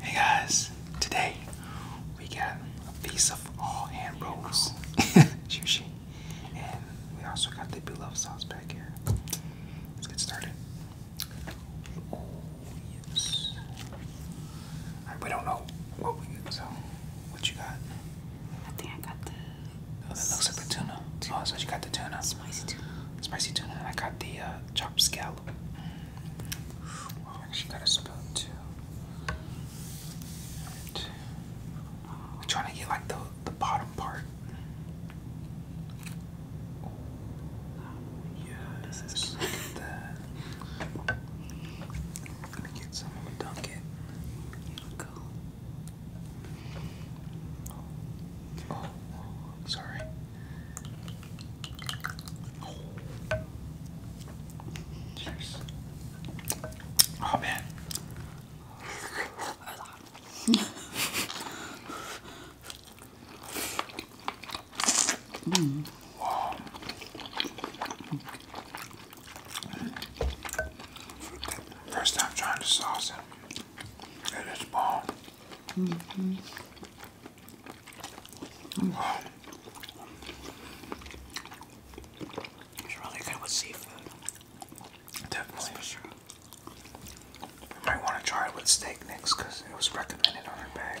Hey guys, today we got a piece of all hand rolls, sushi, and we also got the beloved sauce back here. Let's get started. Oh, we don't know what we get, so what you got? I think I got the. Oh, that looks like the tuna. Oh, so you got the tuna. Spicy tuna. Spicy tuna. I got the uh, chopped scallop. Oh, she got a spoon too. we're trying to get like the the bottom part. Oh, yes. This Look at that. Let get some. Dunk it. Oh, sorry. Cheers. Oh man. mm. Wow. First time trying the sauce, and it is mm-hmm. bomb. It's really good with seafood. Definitely. might want to try it with steak next because it was recommended on our bag.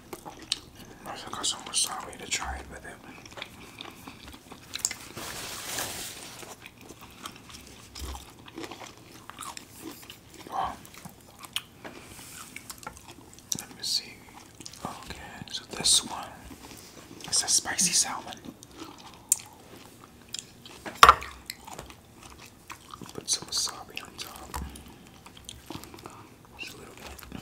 I think I someone to try it with it. Let me see. Okay, so this one is a spicy salmon. Put some wasabi on top. Just a little bit.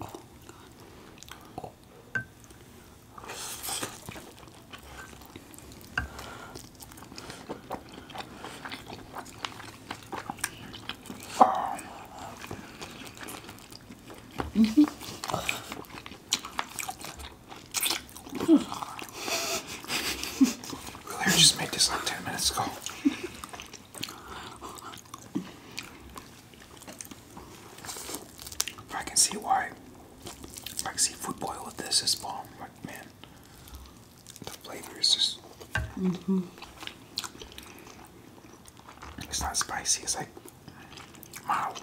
Oh -hmm. we just made this like 10 minutes ago. I can see why. I can see food boil with this is bomb. man, the flavor is just. -hmm. It's not spicy. It's like mild.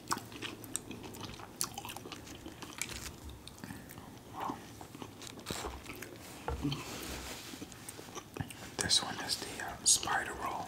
This one is the um, spider roll.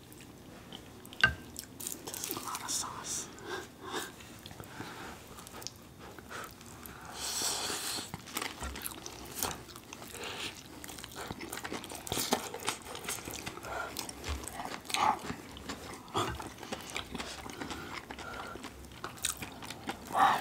That's a lot of sauce. Wow.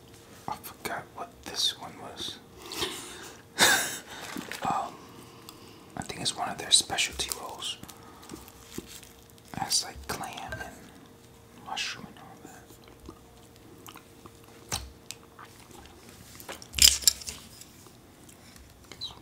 I forgot what this one was. um, I think it's one of their specialty rolls. That's like clam and mushroom and all that. Get some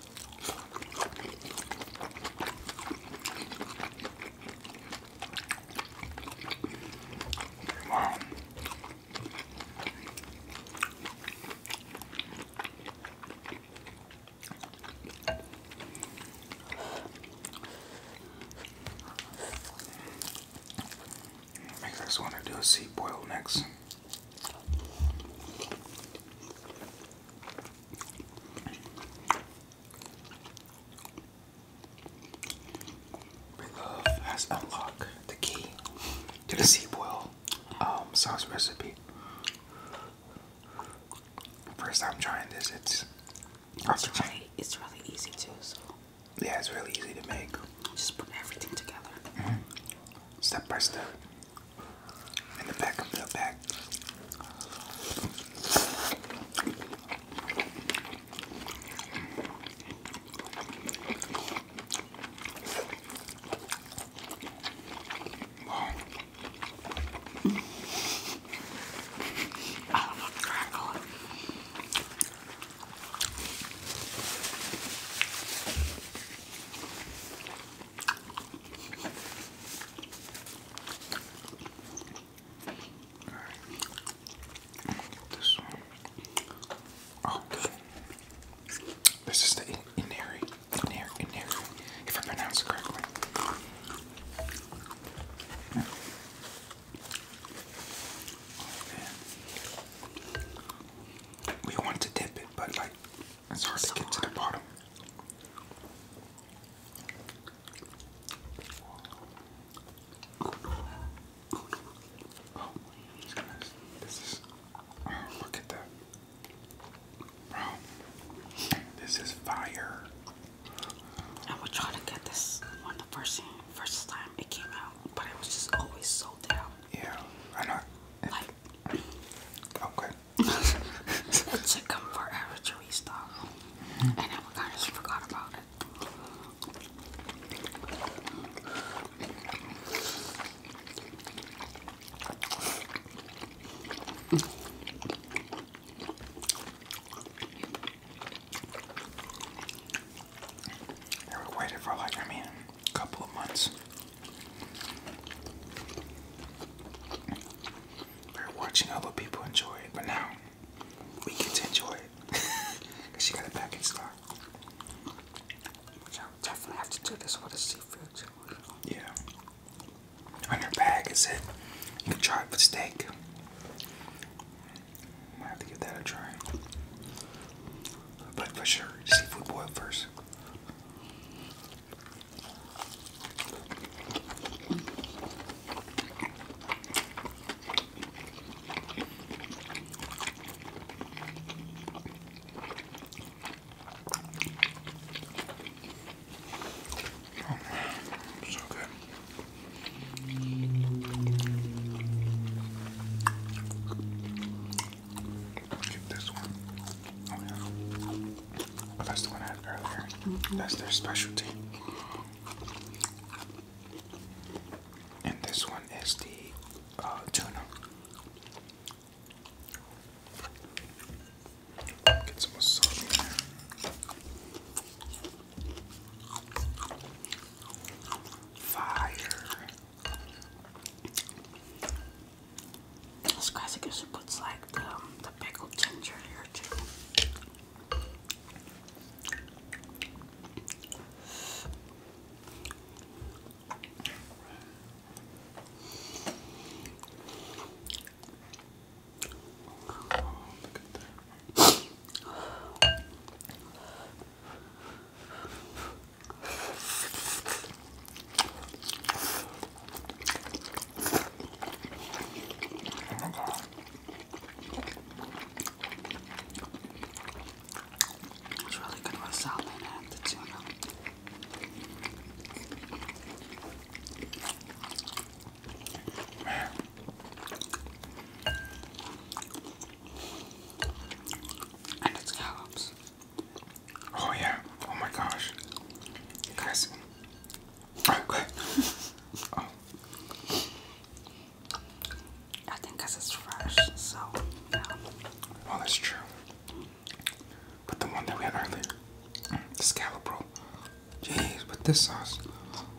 Wow. Makes us want to do a sea boil next. Love has unlocked the key to the sea boil um, sauce recipe. First time trying this, it's also it's really, it's really easy too. yeah, it's really easy to make. Just put everything together. Mm-hmm. Step by step in the back of the bag. Wow. I love a crackle this one. Oh, good. This is the Inari. Inari, Inari, if I pronounce it correctly. We want to dip it, but like it's hard to get to the bottom. look at that. Bro. This is fire. I would try to get this one the first first time it came out, but it was just always sold out. Yeah, I know like. Okay. it took him forever to restock. Mm kind of forgot about it. They were waiting for like I couple of months. We're watching other people enjoy it, but now we get to enjoy it because she got a back in stock. Which i would definitely have to do this with a seafood too. Yeah. On her bag it said you steak. Might have to give that a try but for sure, seafood boil first. Oh, so Keep this one. Oh yeah. that's the one I had earlier. Mm-hmm. That's their specialty. And this one is the uh, tuna. Get some wasabi in there. Fire. It's crazy because it puts like the, um, the pickled ginger here too. Oh, It's really good with salmon and tuna. And it's scallops. Oh yeah. Oh my gosh. You guys. quick! oh. I think it's fresh, so yeah. Well, that's true. But the one that we had earlier, the mm, scallop roll. Jeez, with this sauce.